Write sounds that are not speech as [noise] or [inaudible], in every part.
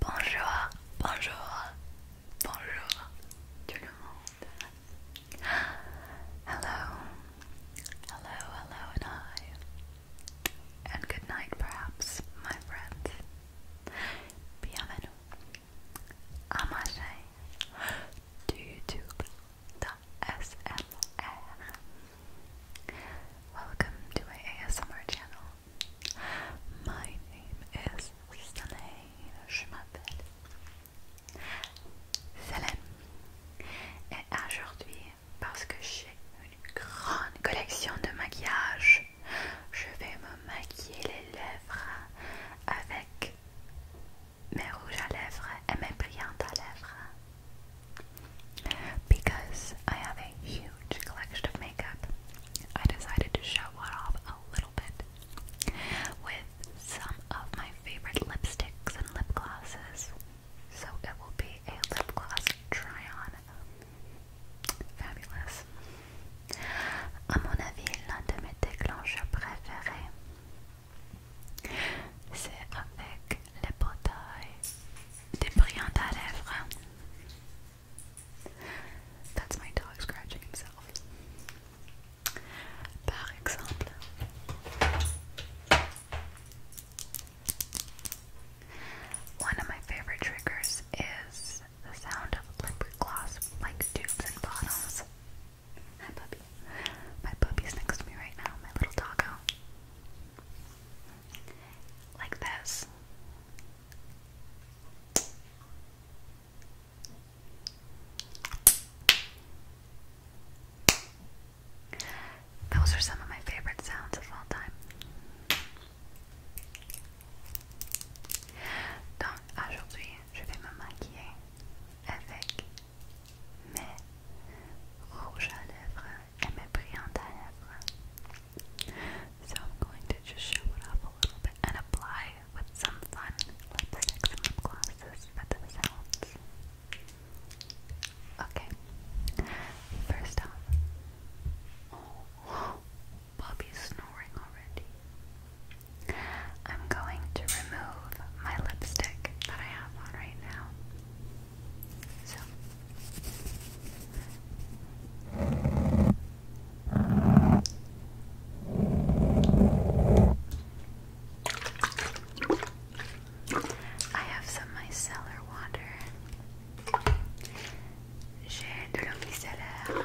Bonjour, bonjour, bonjour tout le monde. Hello, hello, hello, and hi. And good night, perhaps, my friend. Bienvenue à ma chaîne de YouTube ASMR. Welcome to my ASMR channel. My name is Je m'appelle Et aujourd'hui, parce que j'ai une grande collection de maquillage, je vais me maquiller les lèvres avec mes rouges à lèvres et mes brillantes à lèvres. Because I have a huge collection of makeup, I decided to show it off a little bit with some of my favorite lipsticks and lip glosses. So it will be a lip gloss try on. Fabulous. À mon avis, l'un de mes déclencheurs préférés, c'est avec les bouteilles, des brillants à lèvres. That's my dog scratching himself. Par exemple, one of my favorite triggers is the sound of liquid gloss, like tubes and bottles. My puppy's next to me right now, my little doggo. like this. Those are some of my favorite sounds of all time. Donc aujourd'hui, je vais me maquiller avec mes rouges à lèvres et mes brillantes à lèvres. So I'm going to just show it off a little bit and apply with some fun lipsticks and lip glosses for themselves. Okay. First off. Oh, Bobby's snoring already. I'm going to remove my lipstick that I have on right now. So. I have some micellar water. J'ai de l'eau micellaire.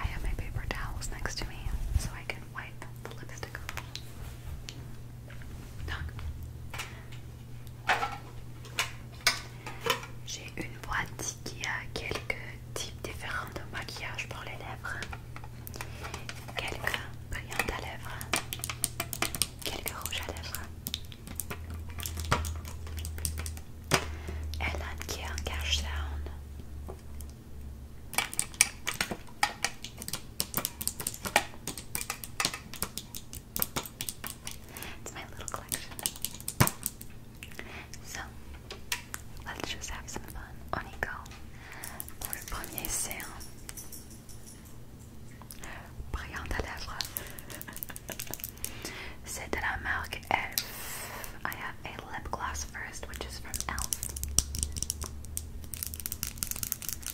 I have my paper towels next to me so I can wipe the lipstick off. Knock. J'ai une boîte qui a quelques types différents de maquillage pour les lèvres, quelques brillants à lèvres, quelques rouges à lèvres. Elle a qui est en cash sound. It's my little collection. So, let's just have some fun. On le premier séant. Brillante à lèvres. [laughs] C'est de la marque Elf. I have a lip gloss first, which is from Elf.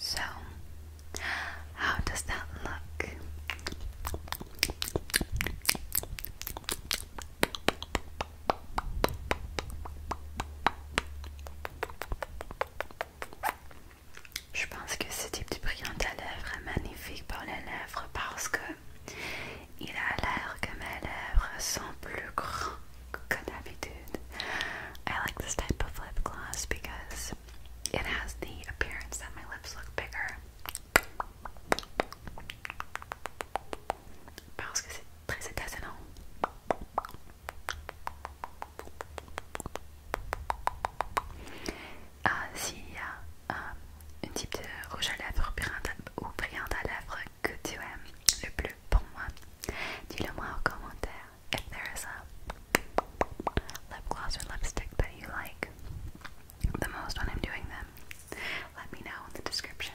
So, how does that look? Je pense que ce type de brillant à lèvres est magnifique pour les lèvres parce que il a l'air que mes lèvres sont plus grandes que d'habitude. I like this type of lip gloss because it has the appearance that my lips look bigger. Parce que c'est très étonnant. Ah, s'il y a euh, un type de rouge à lèvres ou brillant à lèvres que tu aimes le plus pour moi, dis-le moi en commentaire. Si there is a lip gloss or lipstick that you like the most when I'm doing them, let me know in the description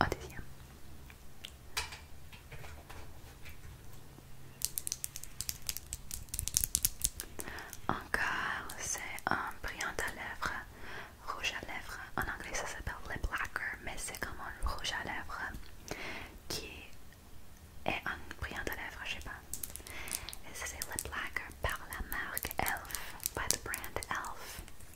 au deuxième. Encore, c'est un brillant à lèvres, rouge à lèvres. En anglais, ça s'appelle lip lacquer, mais c'est comme un rouge à lèvres qui est un brillant à lèvres, je sais pas. Et c'est lip lacquer par la marque Elf, by the brand Elf.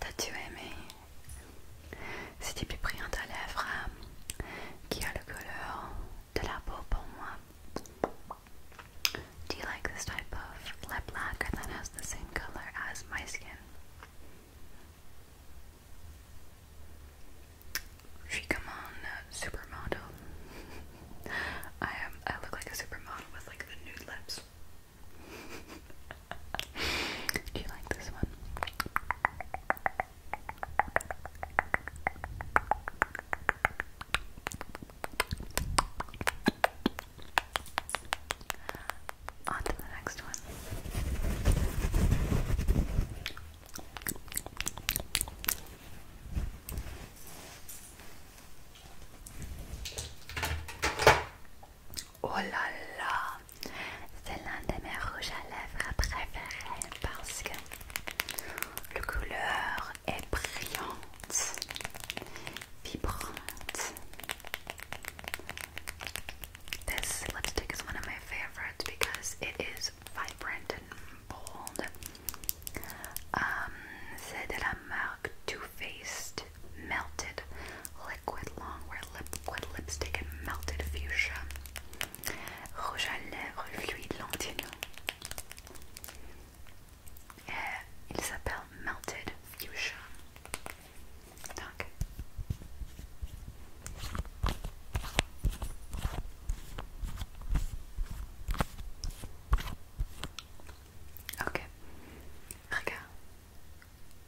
T'as-tu aimé C'était plus brillant à lèvres euh, qui a le couleur de la peau pour moi. Do you like this type of lip lacquer that has the same color as my skin? She come on supermodel. [laughs] I am. I look like a supermodel with like the nude lips. Do you like this one? On to the next one. Oh là là, c'est l'un de mes rouges à lèvres préférés parce que la couleur est brillante, vibrante. This lipstick is one of my favorites because it is vibrant and bold. Um, c'est de la marque Too Faced melted liquid longwear liquid lipstick and melted fuchsia rouge à lèvres fluide long et il s'appelle melted fuchsia donc Ok, regarde,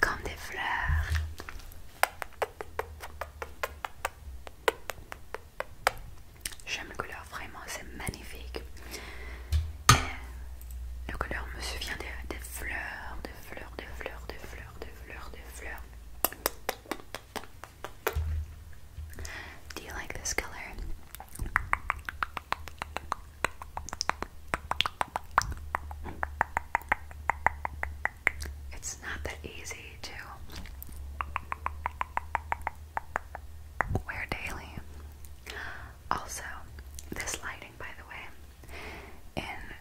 comme des fleurs. J'aime le couleur, vraiment, c'est magnifique. Euh, le couleur me souvient des, des fleurs, des fleurs, des fleurs, des fleurs, des fleurs, des fleurs. Do you like this color? It's not that easy to wear daily. Also, this lighting, by the way, in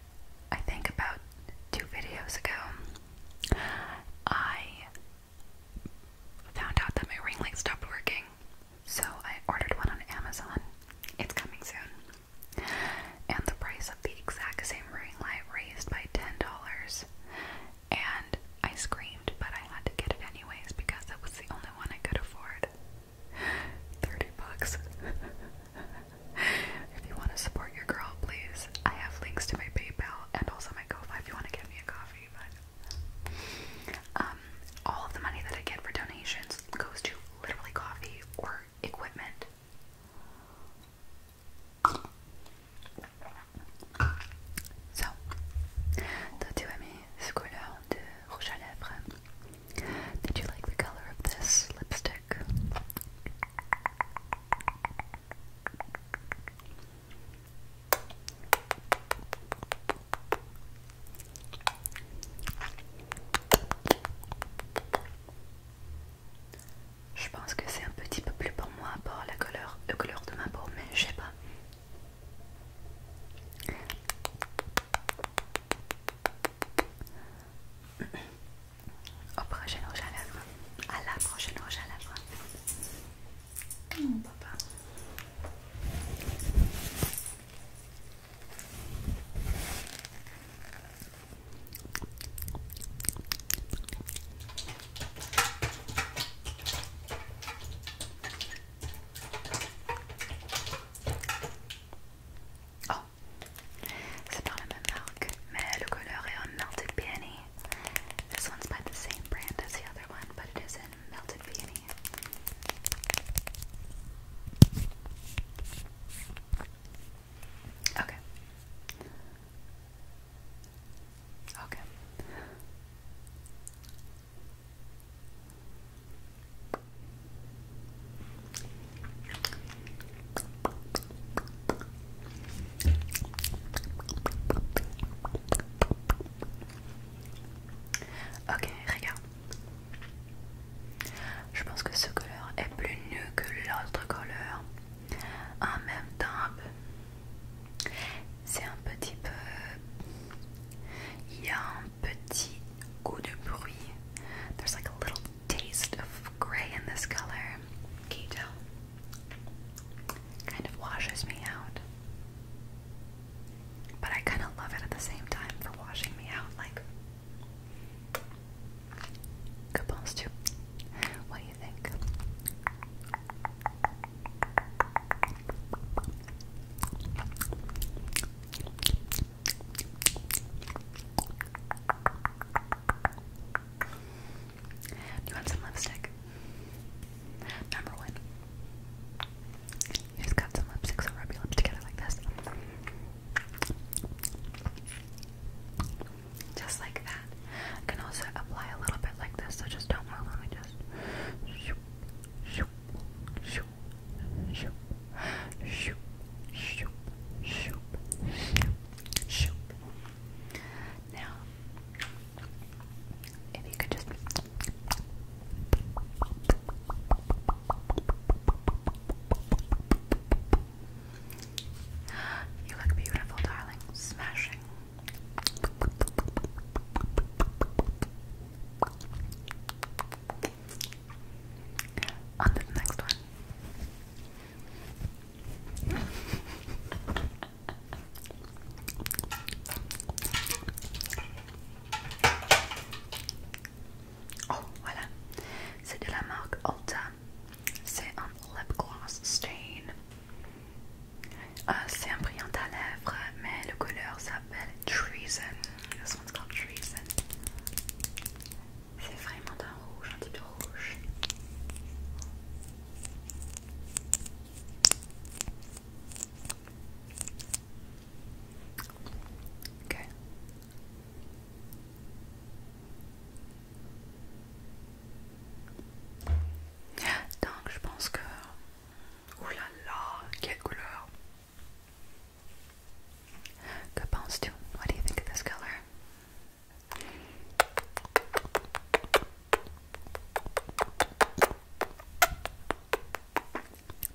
I think about two videos ago, I found out that my ring light stopped working, so I ordered one on Amazon. It's coming soon and the price of the exact same ring light raised by $10. And I screamed, but I had to get it anyways because it was the only one I could afford. 30 bucks. [laughs] if you want to support your girl, please. I have links to my PayPal and also my GoFi if you want to get me a coffee, but um all of the money that I get for donations goes to literally coffee or equipment. So, tattoo me squirtle de rouge à lèvres. Did you like the color of this lipstick? Je pense que c'est un petit peu plus pour moi par la couleur, la couleur de ma peau, mais je sais pas. Au prochain rouge à lèvres. À la prochaine lèvres. Mmh, papa. Oh, c'est pas la même marque, mais le couleur melted peony. This one's by the same brand as the other one, but it is in melted peony. Okay. Okay. Ok, regarde. I think que ce couleur est plus nu que l'autre couleur. En même temps, c'est un petit peu... Il y a There's like a little taste of gray in this color. Can you tell? Kind of washes me out. But I kind of love it at the same time for washing me out. What do you think? you want some lipstick? Number one. just got some lipstick, so rub your lips together like this. Just like that. I can also apply a little bit like this, so just don't move. Let me just. Shoop, shoop, shoop, shoop, shoop, shoop, shoop, shoop, Now, if you could just. You look beautiful, darling. Smashing. On to next one. Oh, voilà. C'est de la marque Ulta. C'est un lip gloss stain. Euh, c'est un brillant à lèvres, mais le couleur s'appelle Treason. s'appelle Treason. C'est vraiment un rouge, un petit rouge. Ok. Donc je pense que... Ouh là là, quelle couleur Que penses-tu What do you think of this color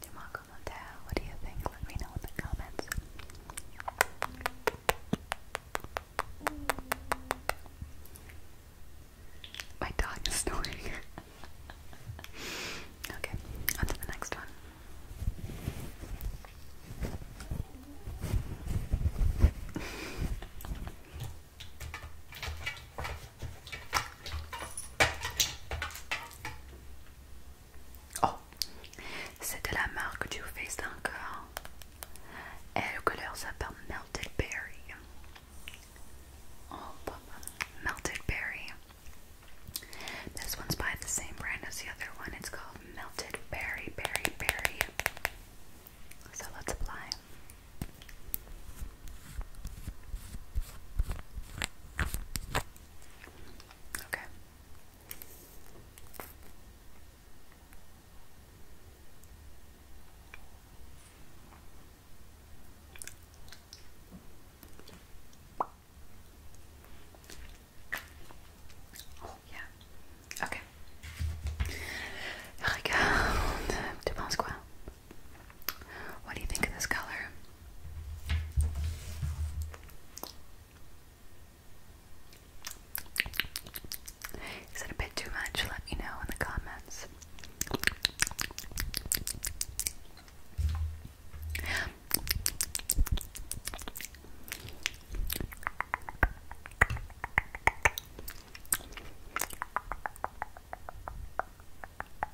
Demarco Montero, what do you think? Let me know in the comments. My dog is [laughs] snoring. okay, on to the next one. Oh, c'est de la marque Too Faced encore. Et le couleur s'appelle Melted Berry. Oh, Melted Berry. This one's by the same brand as the other one. It's called Melted Berry, Berry, Berry. So let's apply. Okay. Oh, yeah, ok. Regarde, [laughs] tu penses quoi? What do you think of this color? Is it a bit too much? Let me know in the comments.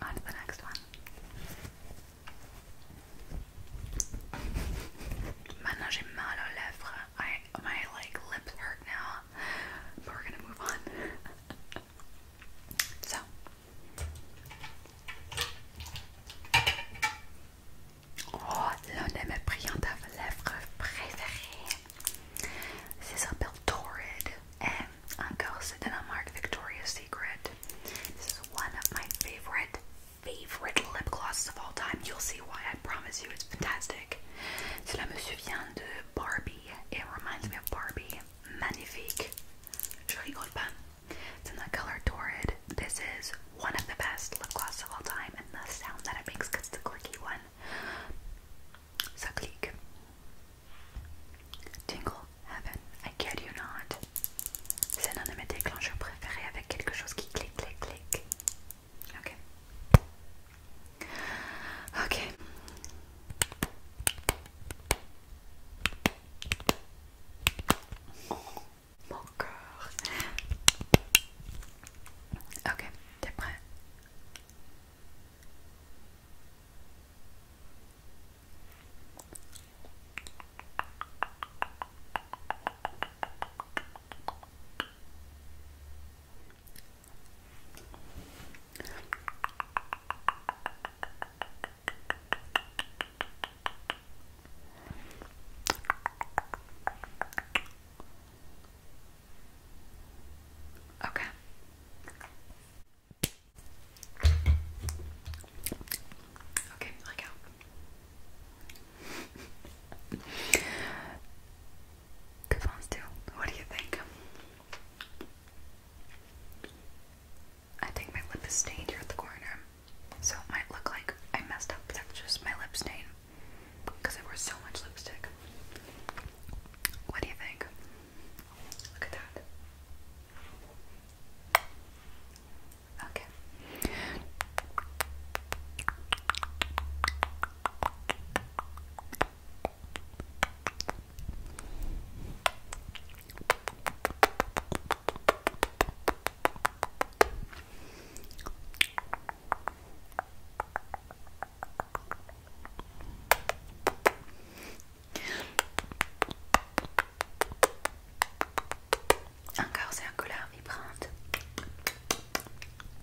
On to the next one. Maintenant j'ai mal aux lèvres. I my like lips hurt now. But we're gonna move on. [laughs] So Oh, l'un de mes brillants à lèvres préférés. Ça s'appelle Torrid. Et encore, c'est in a Mark Victoria Secret. This is one of my favorite, favorite lip glosses of all time. You'll see why, I promise you, it's fantastic. Cela me vient de Barbie. It reminds me of Barbie. Magnifique. Je rigole pas. It's in the color Torrid. This is one of the best lip gloss of all time, and the sound that it makes because it's clicky one. Ça clique. heaven. I kid you not. C'est l'un de mes déclencheurs préférés avec quelque chose qui clique, clique, clique. Ok. Ok. mon cœur Ok, t'es prêt Okay. Okay, like out. Good ones too. What do you think? I think my lip is stained here at the corner. So it might look like I messed up, but that's just my lip stain. Because I wore so much lipstick. What do you think? Look at that. Okay. Encore c'est un colère vibrante.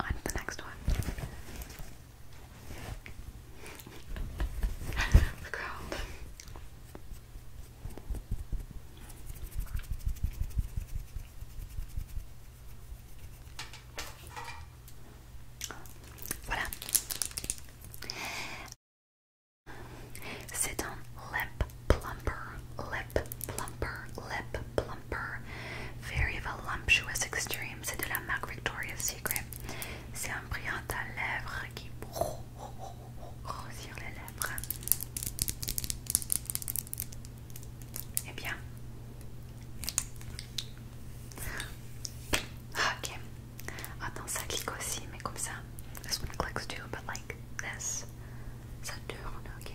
On to the next one. [laughs] Look around. Voilà. C'est un lip plumper, lip plumper, lip plumper. Very voluptuous extreme. C'est de la marque Victoria's Secret. C'est un brillant à lèvres qui oh, oh, oh, grossir Eh bien. Ok. Attends, ah ça clique aussi, mais comme ça. This one clicks too, but like this. Ça tourne, ok.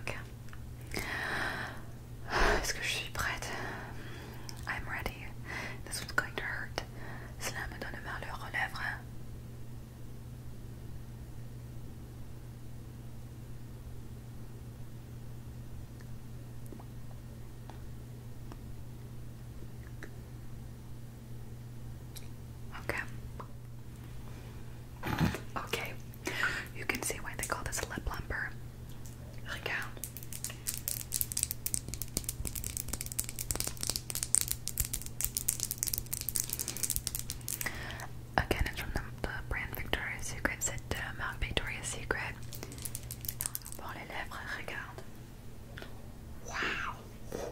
Ok. Est-ce que je suis prête? I'm ready. This one's going to hurt. Cela me donne mal aux lèvres. Ok. Okay, you can see why they call this lip lumper. Regarde. Again, it's from the, brand Victoria's Secret. C'est de la Victoria's Secret. Wow!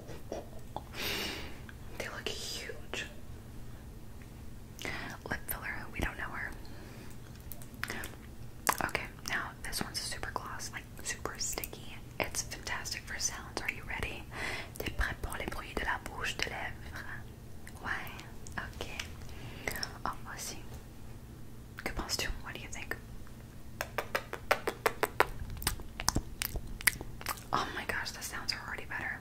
They look huge lip filler. We don't know her. Okay, now this one's super gloss, like super sticky. It's fantastic for sounds. Are you ready? T'es les bruits de la bouche, de lèvres? Ouais, ok. Oh, moi aussi. Que penses What do you think? Oh my gosh, the sounds are already better.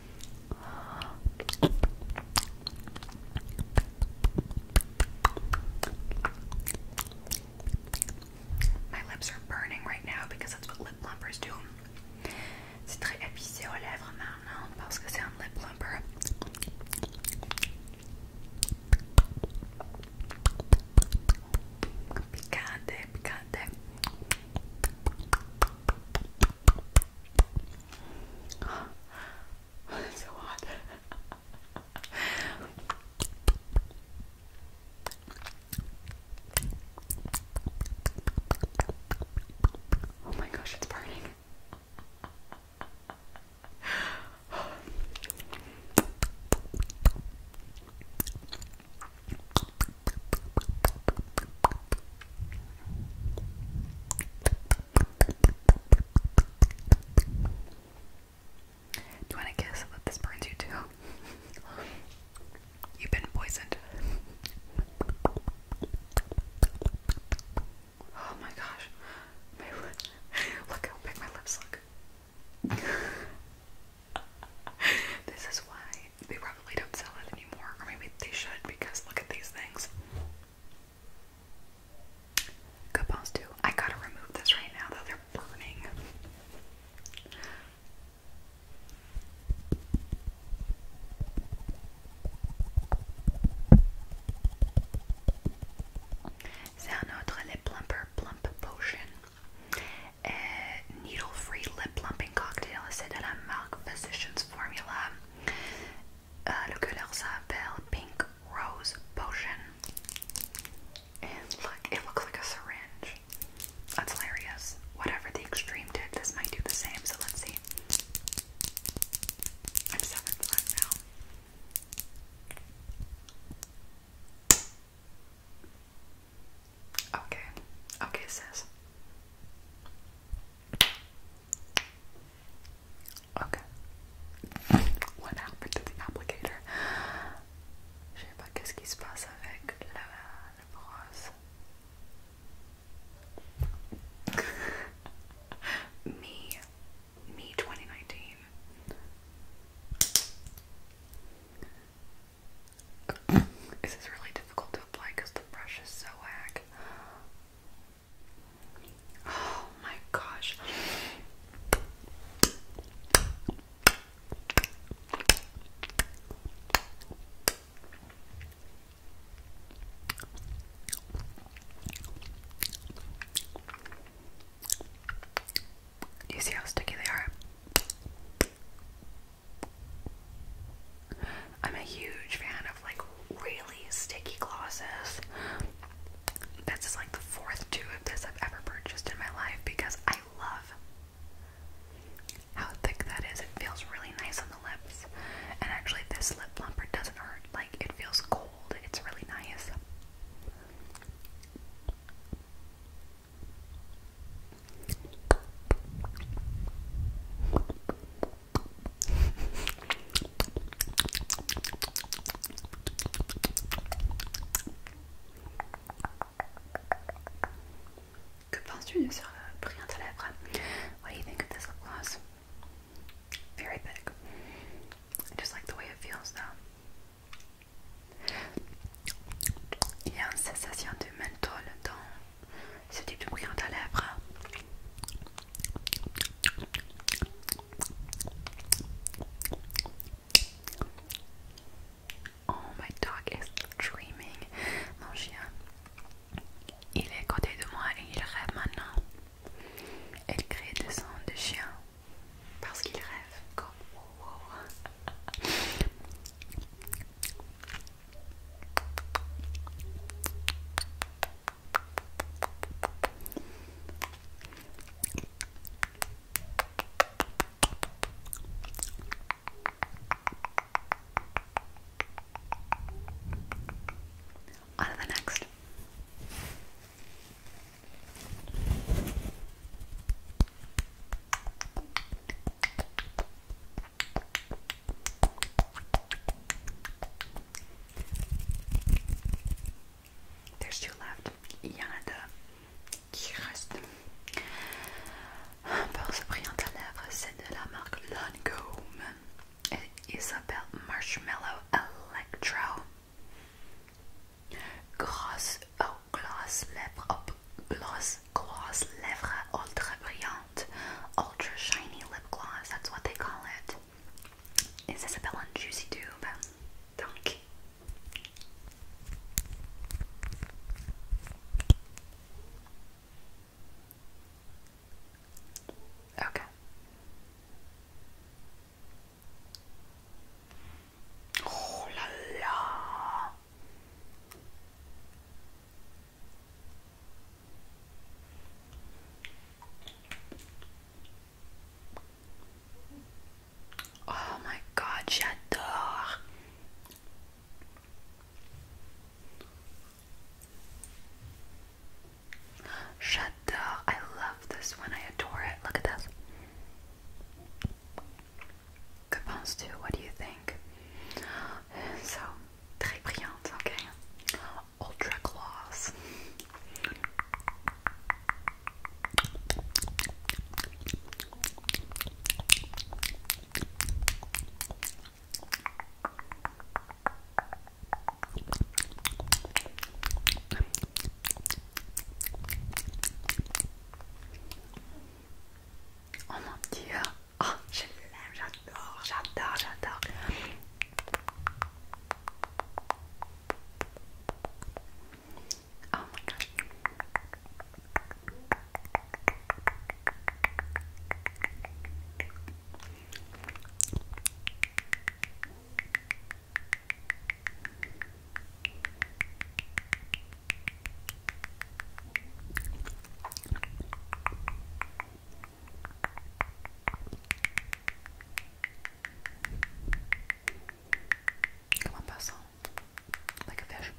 My lips are burning right now because that's what lip plumpers do. C'est très épicé aux lèvres maintenant parce que c'est un lip plumper. Picante, picante. [laughs] so hot. oh my gosh, it's burning you want to guess that this burns you too? You've been poisoned. Oh my gosh. [laughs] Look how big my lips look. [laughs] this is why probably don't sell it anymore, or maybe they should because look at these things. Coupons too. I gotta remove this right now though, they're burning. C'est un autre lip plumper plump potion. Euh, needle-free lip plumping cocktail. C'est de la marque Physicians Formula. Uh, le couleur Pink Rose Potion. And look, it looks like a syringe. That's hilarious. Whatever the extreme did, this might do the same, so let's see. I'm 7 5 now. Okay. Okay, sis. Okay. what happened to the applicator? [laughs] me. Me 2019. [coughs] Is really difficult to apply because the brush is so wack. Oh my gosh. you see how sticky they are? I'm a huge fan of like really sticky glosses. This is like the fourth two of this I've ever purchased in my life because I love how thick that is. It feels really nice on the lips. And actually this lip plumper doesn't hurt. Like it feels cold. It's really nice. Que penses-tu de ce brillant à lèvres? What do you think of this lip gloss? Very big. just like the way it feels though. Il y a une sensation de menthol dans de bruit en ta lèvre Oh, my dog is dreaming. Mon chien, il est à côté de moi et il rêve maintenant. Elle crée des sons de chien parce qu'il rêve comme On to the next. Il y en a deux qui restent. Pour ce brillant à lèvres, c'est de la marque Lancôme. Et Isabelle Marshmallow Electro. Grosse, oh, gloss lèvres, hop, oh, gloss, gloss lèvres ultra brillant. ultra shiny lip gloss. That's what they call it. Is Isabella on Juicy Tube? Donkey. Okay. Oh la la. Oh my god, j'adore. J'adore. I love this one. I adore it. Look at this. Que penses tu? What do you think? So très brillante, ok Ultra Gloss. Oh mon dieu, Oh, je l'aime, j'adore, j'adore, j'adore. Oh my god. Comme un passant, like a fish.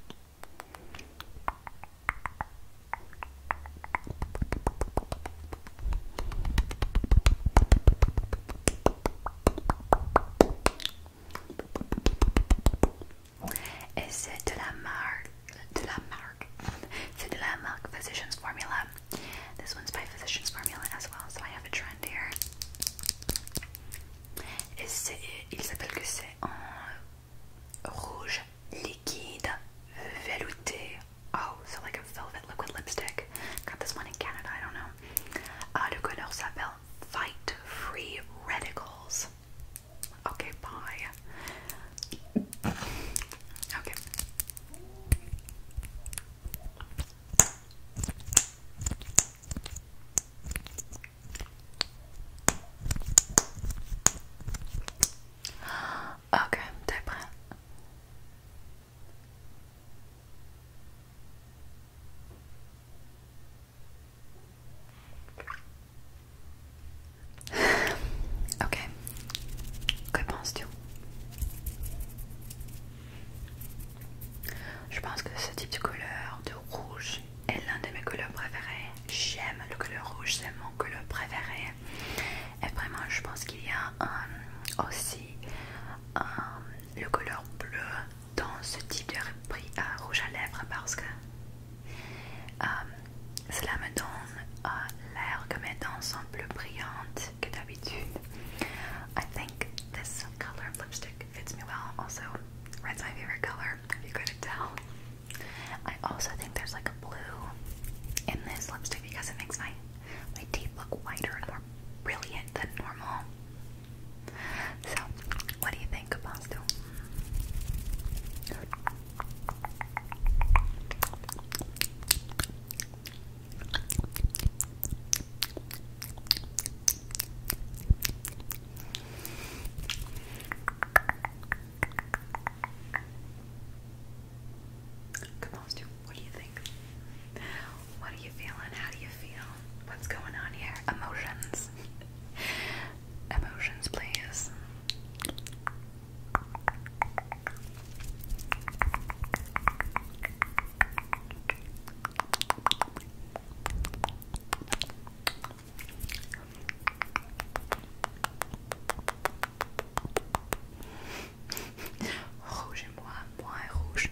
Et c'est de la marque, de la marque. Landmark. so Physicians Formula. This one's by Physicians Formula as well, so I have a trend here. Et ils appellent que c'est en rouge liquide velouté. Oh, so like a velvet liquid lipstick. Got this one in Canada, I don't know. Uh, s'appelle Fight Free Radicals. Okay, bye. Okay. Ok, t'es [sighs] ok. Que penses-tu Je pense que ce type de couleur, de rouge, est l'un de mes couleurs préférées. J'aime le couleur rouge, c'est mon couleur préférée. Et vraiment, je pense qu'il y a euh, aussi euh, le couleur bleu dans ce type de prix à euh, rouge à lèvres parce que Euh, euh, I think this lipstick fits me well. Also, red's my favorite color, I also think there's like a blue in this lipstick because it makes my my teeth look whiter and more brilliant than normal. So, what do you think, Pasto? Come on, Stu. What do you think? What are you feeling? How do you feel? What's going on here? Emotions. [laughs] Emotions, please. Rouge et moi, moi et rouge.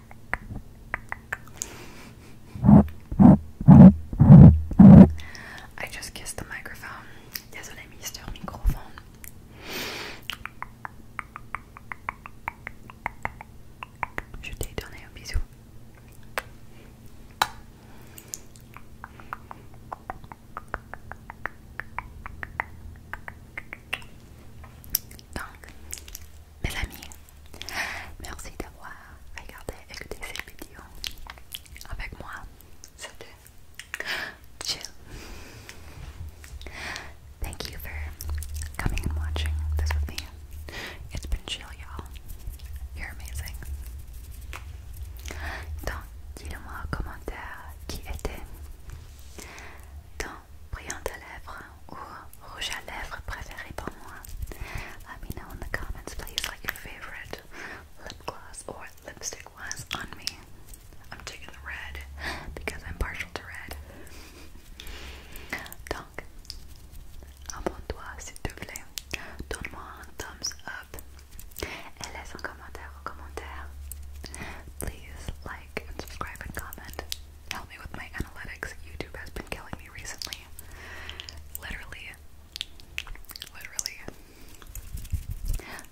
I just kissed the microphone. Désolé, Mister Microphone. Je t'ai donné un bisou. Donc, mes amis, Merci d'avoir regardé et écouté cette vidéo avec moi. C'était chill. Thank you for coming and watching this with me. It's been chill, y'all. You're amazing. Donc, dis-le-moi en commentaire qui était ton brillant tes lèvres or rouge à lèvres préféré pour moi. Let me know in the comments, please, like your favorite lip gloss or lipstick was on me. I'm taking the red because I'm partial to red. Donc, abonne-toi s'il te plaît. Donne-moi un thumbs up et laisse un commentaire au commentaire. Please like subscribe and comment help me with my analytics. YouTube has been killing me recently. Literally. Literally.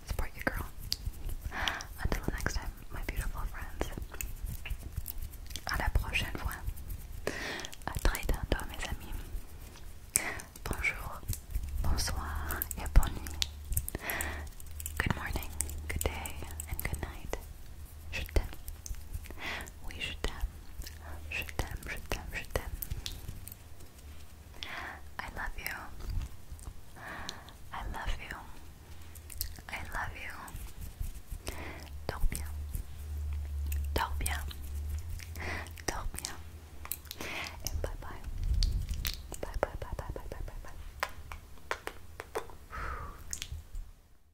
Support you, girl. Until next time, my beautiful friends. À la prochaine fois. À très bientôt, mes amis. Bonjour, bonsoir, et bonne nuit. Good morning, good day, and good night. Je t'aime. Oui, je t'aime. Je t'aime, je t'aime, je t'aime. I love you. I love you. I love you. Dors bien. Dors bien. Dors bien. bye bye. Bye bye bye bye bye bye bye bye.